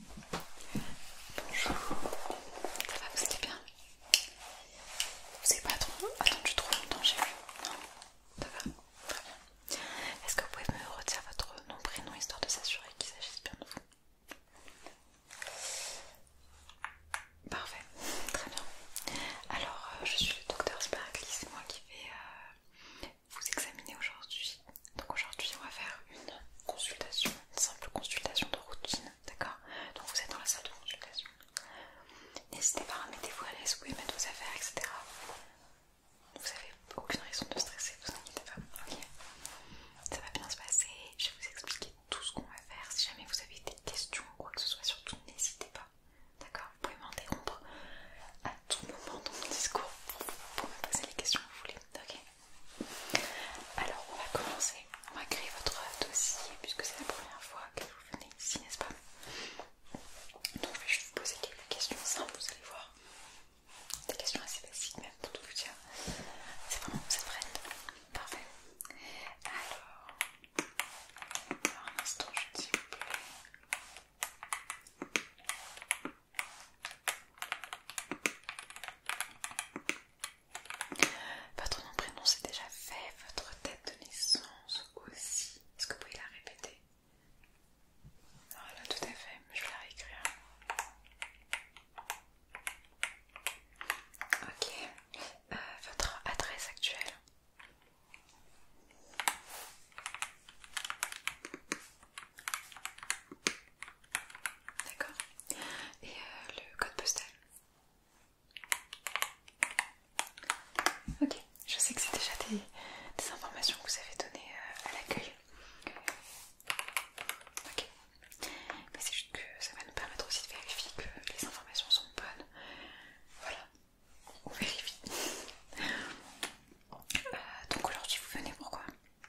Bonjour, ça va, vous allez bien Vous n'avez pas trop attendu trop longtemps, chez vous Non Ça Très bien. Est-ce que vous pouvez me retirer votre nom, prénom, histoire de s'assurer qu'il s'agisse bien de vous Parfait, très bien. Alors, euh, je suis le docteur Sparkly, c'est moi qui fais euh, vous examiner aujourd'hui. Donc aujourd'hui on va faire une consultation, une simple consultation de routine, d'accord Donc vous êtes dans la salle de consultation. N'hésitez pas, mettez-vous à l'aise, vous pouvez mettre vos affaires, etc. Vous n'avez aucune raison de stresser, vous inquiétez pas, ok Ça va bien se passer, je vais vous expliquer tout ce qu'on va faire. Si jamais vous avez des questions ou quoi que ce soit, surtout n'hésitez pas, d'accord Vous pouvez m'interrompre à tout moment dans mon discours pour, pour me poser les questions que vous voulez, ok alors, on va commencer. On va créer votre dossier puisque c'est la première fois que vous venez ici, n'est-ce pas Donc, je vais vous poser quelques questions simples, vous allez voir. Des questions assez basiques, même pour tout vous dire. C'est vraiment, vous êtes prêts Parfait. Alors, un instant, je vous plaît. Votre nom prénom c'est déjà fait, votre date de naissance aussi. Est-ce que vous pouvez la répéter Voilà, ah, tout à fait, je vais la réécrire. Ok, euh, votre adresse actuelle D'accord Et euh, le code postal Ok, je sais que c'est déjà des, informations que vous avez données euh, à l'accueil. Ok. Mais c'est juste que ça va nous permettre aussi de vérifier que les informations sont bonnes. Voilà. On vérifie. Euh, donc aujourd'hui vous venez pourquoi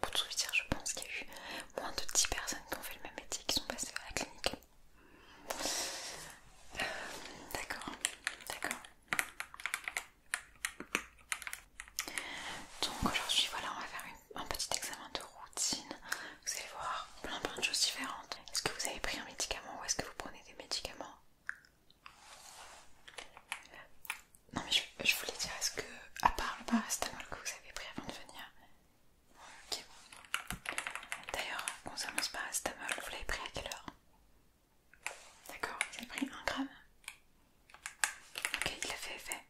Pour tout vous dire, je pense qu'il y a eu moins de 10 personnes qui ont fait le même métier qui sont passées à la clinique. Euh, d'accord, d'accord. Donc aujourd'hui, voilà, on va faire un petit examen de routine. Vous allez voir plein plein de choses différentes. Est-ce que vous avez pris un médicament ou est-ce que vous prenez des médicaments non mais je, voulais dire, est-ce que, à part le paracétamol que vous avez pris avant de venir, D'ailleurs, concernant ce paracétamol, vous l'avez pris à quelle heure D'accord, vous avez pris un gramme Ok, il l'avait fait effet.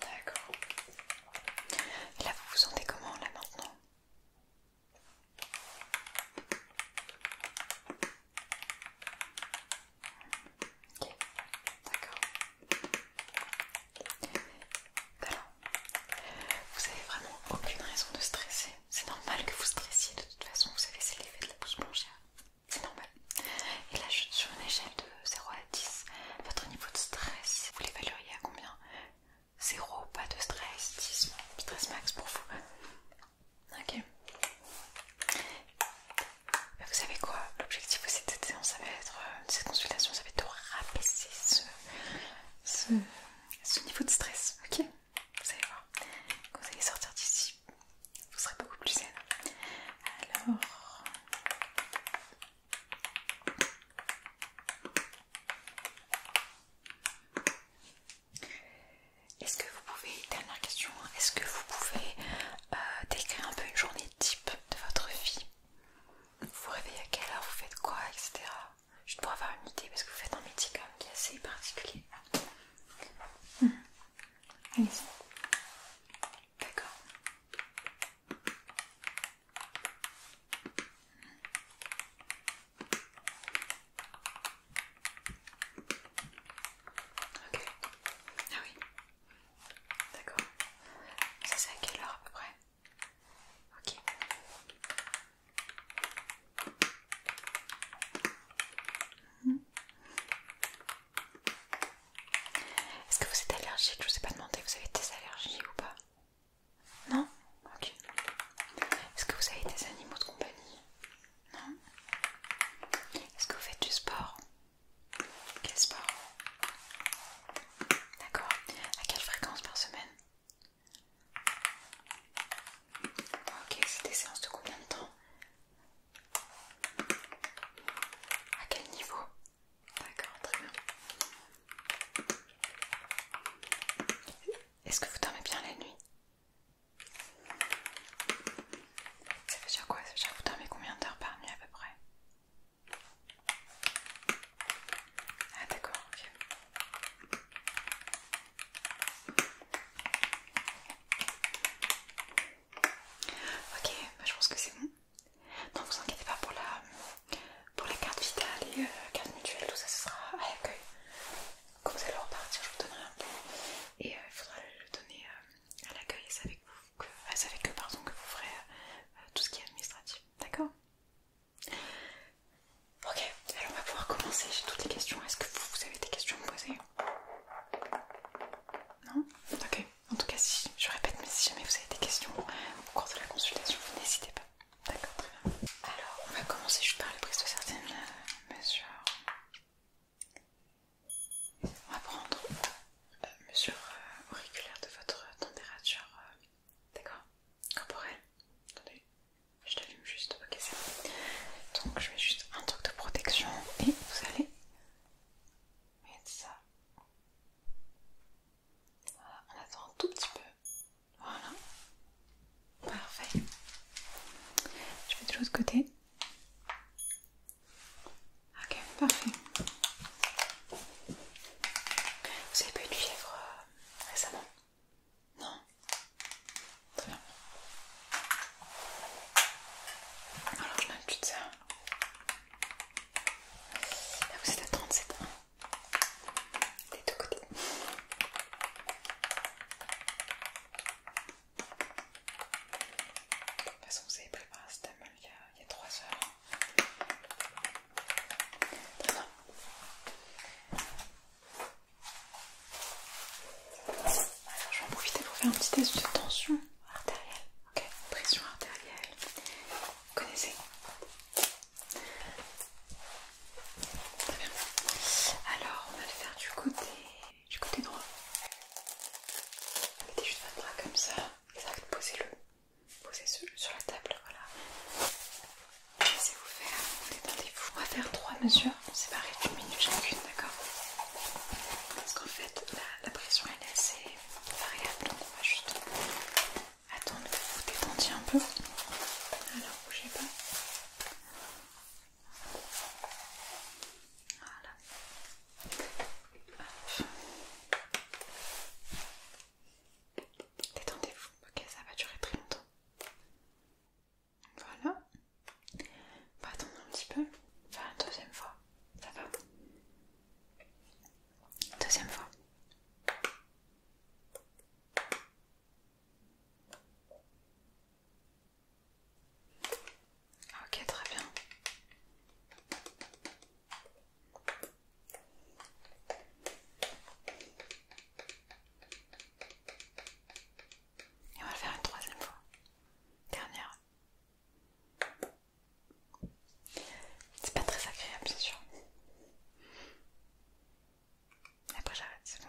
D'accord. Et là, vous vous sentez comment là maintenant Ok, d'accord. vous avez vraiment aucune raison de stresser. C'est normal que vous stressiez de toute façon, vous savez, c'est l'effet de la pousse blanchière. C'est normal. Et là, je suis sur une échelle de 0 à 10. Votre niveau de stress, vous l'évalueriez à combien 0, pas de stress, 10, stress max pour vous. Ok. Vous savez quoi L'objectif de cette séance, ça va être, euh, cette consultation, ça va être de rabaisser ce, ce, ce niveau de stress. Ok Vous allez voir. Quand vous allez sortir d'ici, vous serez beaucoup plus zen. Alors... Est-ce que vous pouvez, dernière question, est-ce que vous pouvez euh, décrire un peu une journée type de votre vie Vous vous réveillez à quelle heure, vous faites quoi, etc. Juste pour avoir une idée, parce que vous faites un métier quand même qui est assez particulier. Mmh. D'accord. Ok. Ah oui. D'accord. Ça c'est à quelle heure à peu près Ok. Mmh. Est-ce que vous êtes allergique Je vous ai pas demandé, vous avez des allergies ou pas Non Ok. Est-ce que vous avez des animaux de compagnie non Est-ce que vous faites du sport Quel sport D'accord. À quelle fréquence par semaine Ok, c'est des séances de combien de temps À quel niveau D'accord, très bien. Est-ce que vous dormez bien la nuit ça veut dire quoi Ça veut dire que vous dormez combien d'heures par nuit à peu près Ah d'accord, ok. Ok, bah, je pense que c'est bon. Non, vous inquiétez pas pour la, pour la carte vitale et euh, la carte mutuelle, tout ça, ce sera à l'accueil. Quand vous allez repartir, je vous donnerai un peu. et euh, il faudra le donner euh, à l'accueil, et avec que vous, que, vous ferez euh, tout ce qui est administratif. D'accord Ok, alors on va pouvoir commencer. J'ai toutes les questions. Est-ce que vous, avez des questions à me poser Non Ok. En tout cas, si je répète, mais si jamais vous avez des questions au cours de la consultation, vous n'hésitez pas. D'accord, très bien. Alors, on va commencer juste par les prises de certaines euh, mesures. On va prendre euh, mesure euh, auriculaire de votre température, euh, d'accord Corporelle. Attendez, je t'allume juste, ok c'est Donc je mets juste un truc de protection et vous allez mettre ça. Voilà, on attend un tout petit peu. Voilà. Parfait. Je vais de l'autre côté. Ok, parfait. Vous avez pas eu de fièvre euh, récemment Non Très bien. Alors je m'habitue de ça. Là vous êtes à 37 ans. Des deux côtés. De toute façon, vous avez préparé un hein, il, il y a 3 heures. Alors, je vais en profiter pour faire un petit test de tension artérielle. Ok, pression artérielle. Vous connaissez Très bien. Alors, on va le faire du côté du côté droit. Mettez juste votre bras comme ça, et posez-le, posez le sur la table, voilà. Laissez-vous faire, détendez-vous. On faire trois mesures séparées d'une minute chacune, d'accord Parce qu'en fait, la, pression elle est assez variable, donc on va juste attendre que vous détendiez un peu. Alors, bougez pas. Détendez-vous. Ok, ça va durer très longtemps. Voilà. On va attendre un petit peu. Enfin, deuxième fois. Ça va Deuxième fois. Ok, très bien. Et on va le faire une troisième fois. Dernière. C'est pas très agréable, c'est sûr. Et après j'arrête, c'est bon.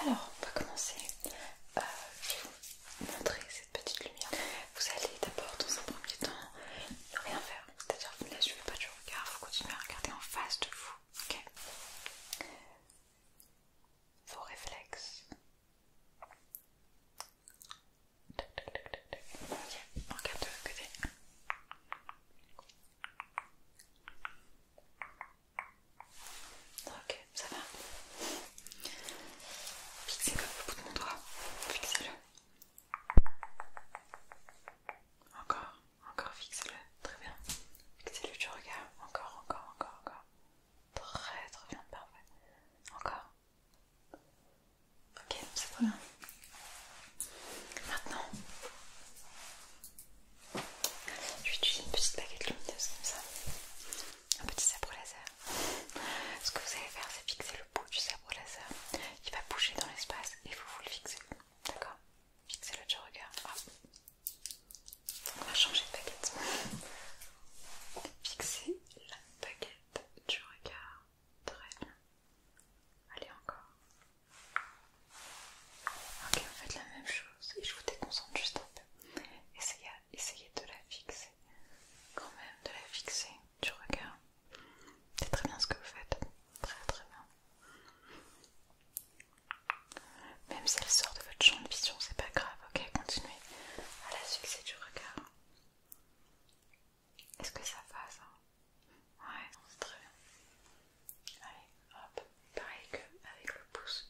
Alors, on va commencer. Euh, je vais vous montrer cette petite lumière. Vous allez d'abord, dans un premier temps, ne rien faire. C'est-à-dire, vous ne la suivez pas du regard, vous continuez à regarder en face de vous. Ok Vos réflexes. regarde Ok, ça va. Fixez le bout de mon doigt. Fixez-le. Encore, encore, fixez-le. Très bien. Fixez-le tu regard. Encore, encore, encore, encore. Très, très bien, parfait. Encore. Ok, c'est pas bien. Maintenant, je vais utiliser une petite baguette lumineuse comme ça, un petit sabre laser. Ce que vous allez faire, c'est fixer le bout du sabre laser. Il va bouger dans l'espace et vous vous le fixez. D'accord Fixez-le du regard. Ah. On va changer de baguette. Fixez la baguette du regard. Très bien. Allez, encore. Ok, vous faites la même chose et je vous déconcentre juste un peu. Essayez, de la fixer, quand même, de la fixer du regard. C'est très bien ce que vous faites, très très bien. Même si elle sort de votre champ de vision, c'est pas grave, ok Continuez à la fixer du regard. Est-ce que ça va Ouais, c'est très bien. Allez, hop, pareil que avec le pouce,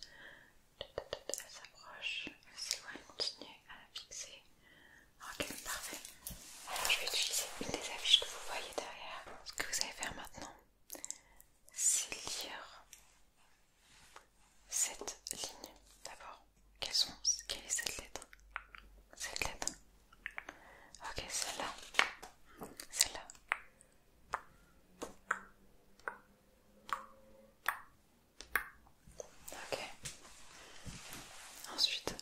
elle s'approche, elle s'éloigne, continue à la fixer. Ok, parfait. Alors je vais utiliser une des affiches que vous voyez derrière. Ce que vous allez faire maintenant, c'est lire cette ligne d'abord. Quelle est cette lettre Cette lettre Ok, celle-là. Celle-là. Ok. Ensuite.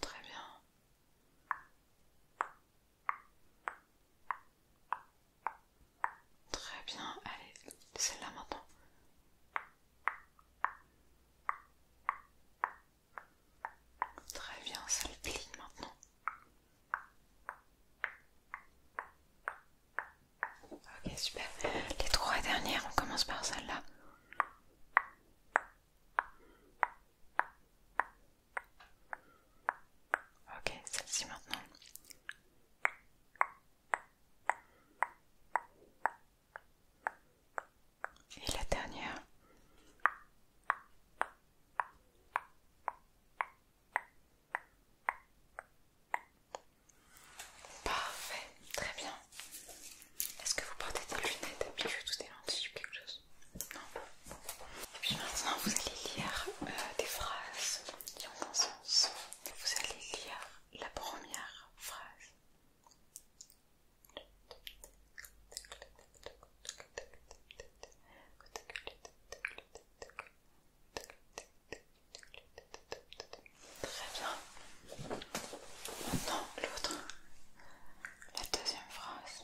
Très bien. Très bien. Allez, celle-là maintenant. Très bien, ça le maintenant. Ok, super. Les trois dernières, on commence par celle-là. Ok, celle-ci maintenant. Et la dernière. Parfait, très bien. Est-ce que vous portez des lunettes puis ou des lentilles ou quelque chose Non. Et puis maintenant, vous allez lire euh, des phrases qui ont un sens. Vous allez lire la première phrase Très bien. Maintenant, l'autre, la deuxième phrase.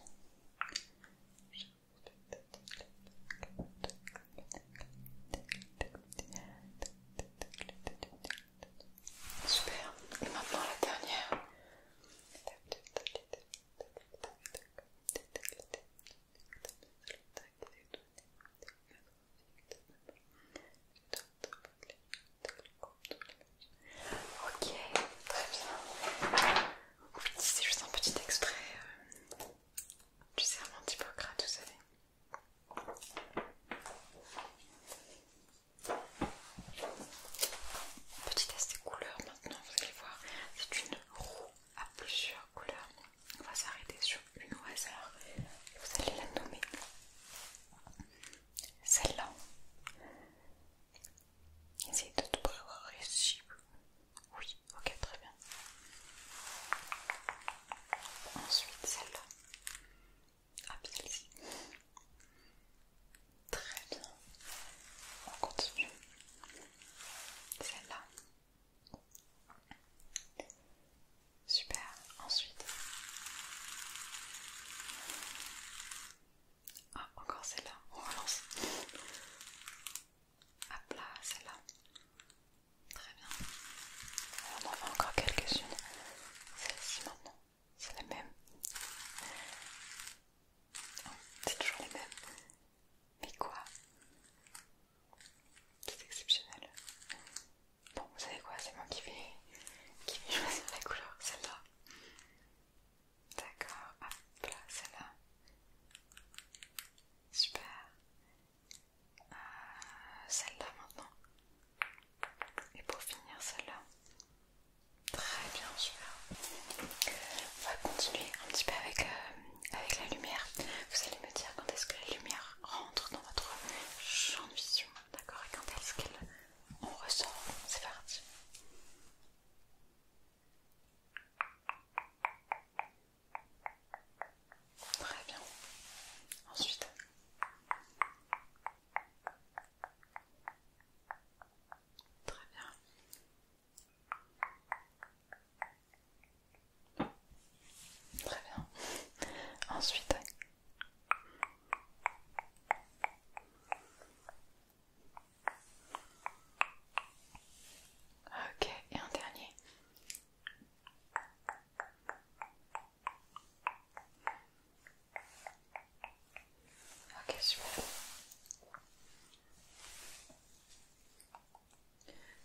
Super. Et maintenant la dernière. Ok, très bien. C'est juste un petit extrait du serment d'Hippocrate, vous savez. Petit test des couleurs maintenant, vous allez voir, c'est une roue à plusieurs couleurs. On va s'arrêter sur une au hasard et vous allez la nommer. Celle-là. Essayez de trouver avoir ici. oui, ok, très bien. Ensuite, celle-là. Ah, celle-ci. Très bien. On continue. Celle-là. Super. Ensuite. Ah, encore celle-là. On relance. Hop là, celle-là. Très bien. on en fait encore quelques-unes. Celle-ci maintenant. C'est la même. c'est toujours les même. Mais quoi C'est exceptionnel. Bon, vous savez quoi C'est moi qui vais, qui choisir la couleur. Celle-là. D'accord. ah voilà celle-là. Super. Euh, celle-là maintenant. Et pour finir celle-là. Très bien, super. On va continuer un petit peu avec, euh, avec la lumière. Vous allez me dire quand est-ce que la lumière rentre dans votre champ de vision, d'accord Et quand est-ce qu'elle ressort C'est parti. Très bien. Ensuite, Très bien. Très bien. Ensuite. Ok, et un dernier. Ok, super.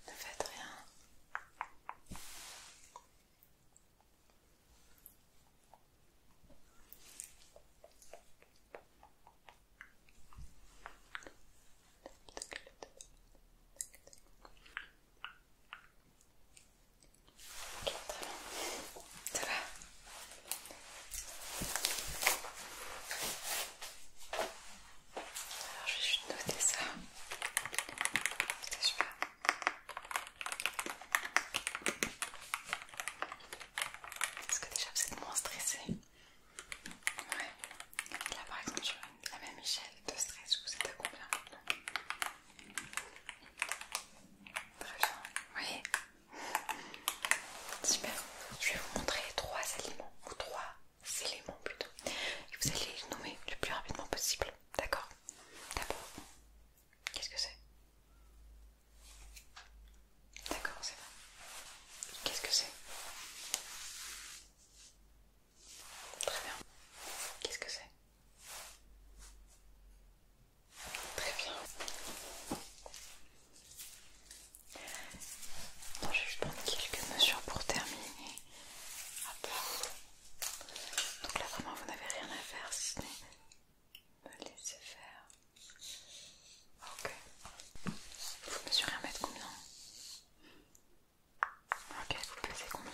Ne faites rien. Ok, très bien. Ça va Alors je vais juste noter ça. je suis pas. Parce que déjà vous êtes moins stressé. Ouais. Là par exemple, suis une, la même échelle de stress, vous êtes à combien Très bien, oui. Super. Je vais vous montrer trois aliments, ou trois éléments plutôt. Et vous allez les nommer le plus rapidement possible. D'accord D'abord, qu'est-ce que c'est D'accord, c'est bon. Qu'est-ce que c'est Très bien. Qu'est-ce que c'est Très bien. Bon je vais juste prendre quelques mesures pour terminer. Donc là vraiment vous n'avez rien à faire si ce n'est me laisser faire. Ok. Vous mesurez un mètre combien Ok, vous pesez combien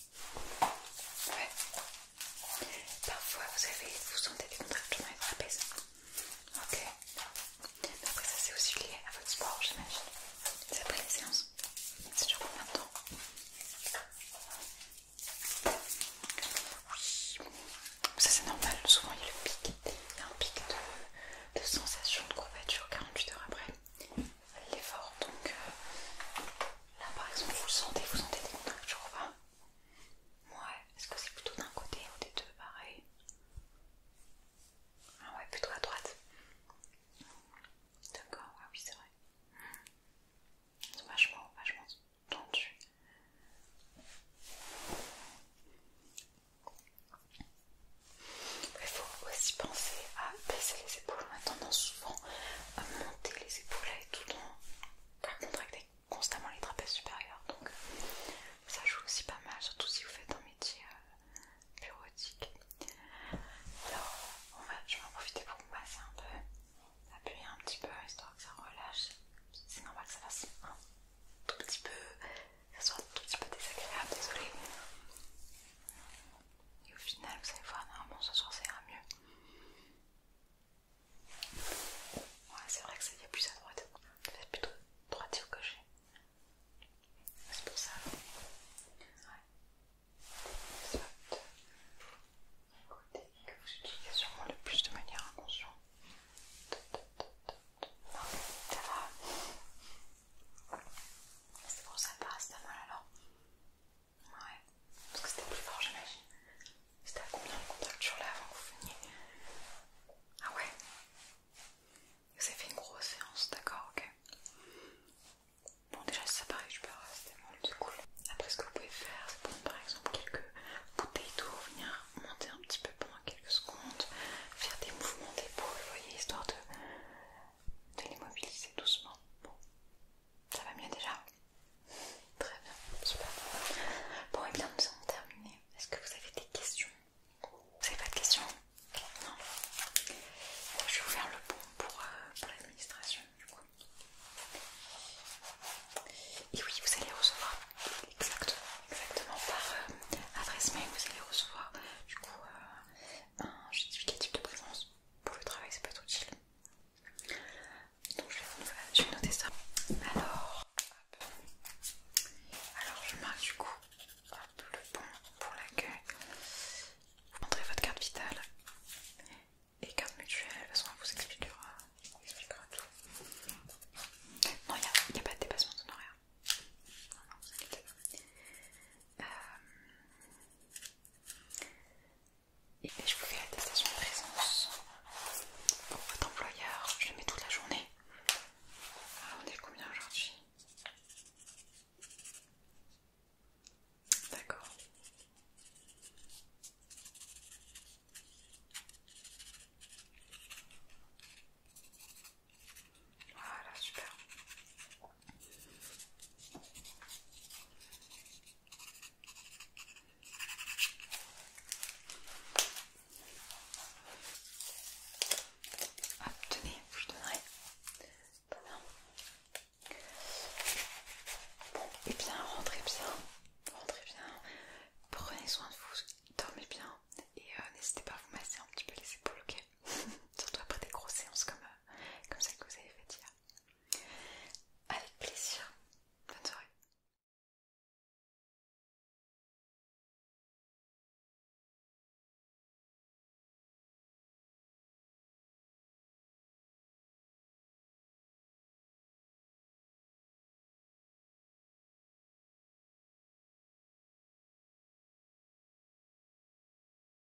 Ouais. Parfois, vous avez, vous sentez des contractions et vous ça. Ok. Après, ça c'est aussi lié à votre sport, j'imagine. C'est après les séances. C'est toujours combien de oui. Ça c'est normal, souvent il y a le pic. Il y a un pic de, de sensation de courbature 48 heures après l'effort. Donc euh, là par exemple, vous le sentez, vous sentez des je pas Ouais, est-ce que c'est plutôt d'un côté ou des deux pareil Ah ouais, plutôt à droite. D'accord, ah oui c'est vrai. vachement, vachement tendu. Il faut aussi penser à baisser les on a tendance souvent à monter les épaules et tout en à contracter constamment les trapèzes supérieurs. Donc ça joue aussi pas mal, surtout si vous faites un métier euh, bureautique. Alors on va, je vais en profiter pour vous passer un peu, appuyer un petit peu histoire que ça relâche. C'est normal que ça fasse un tout petit peu, ça soit un tout petit peu désagréable, désolé. Et au final, vous allez voir, normalement ce soir ça ira mieux. Ouais, c'est vrai que ça y est plus à droite. Peut-être plutôt droitier ou gaucher. C'est pour ça. Ouais. que vous utilisez sûrement le plus de manière inconsciente. Non, ça va. C'est pour ça, mal alors. Ouais, parce que c'était plus fort, j'imagine. C'était à combien le contact sur là avant que vous veniez Ah ouais Vous avez fait une grosse séance, d'accord, ok. Bon, déjà, c'est ça paraît, je peux rester c'est cool. Après, ce que vous pouvez faire, c'est prendre par exemple quelques bouteilles d'eau, venir monter un petit peu pendant quelques secondes, faire des mouvements d'épaule, vous voyez, histoire de, de les mobiliser doucement. Bon, ça va mieux déjà Très bien, super. Bon, et eh bien nous avons terminé. Est-ce que vous avez des questions Vous n'avez pas de questions Non Je vais vous faire le pont euh, pour, l'administration du coup. Et oui, vous allez recevoir exactement, exactement par euh, adresse mail, vous allez recevoir du coup euh, un justificatif de présence pour le travail c'est pas trop utile. Donc je vais, je vais noter ça. Alors, Alors je marque du coup le pont pour l'accueil. Vous montrez votre carte vitale et carte mutuelle, de toute façon on vous expliquera, tout. Non, il n'y a, pas de dépassement d'honoraires. Et ben, je vous fais la station de présence pour votre employeur. Je le mets toute la journée. Ah, on est combien aujourd'hui D'accord. Voilà, super. Ah, tenez, je donnerai. Bon, et eh bien, rentrez bien, rentrez bien, prenez soin de vous, dormez bien et euh, n'hésitez pas à vous masser un petit peu les épaules, ok Surtout après des grosses séances comme, euh, comme celle que vous avez faite hier. Avec plaisir. Bonne soirée.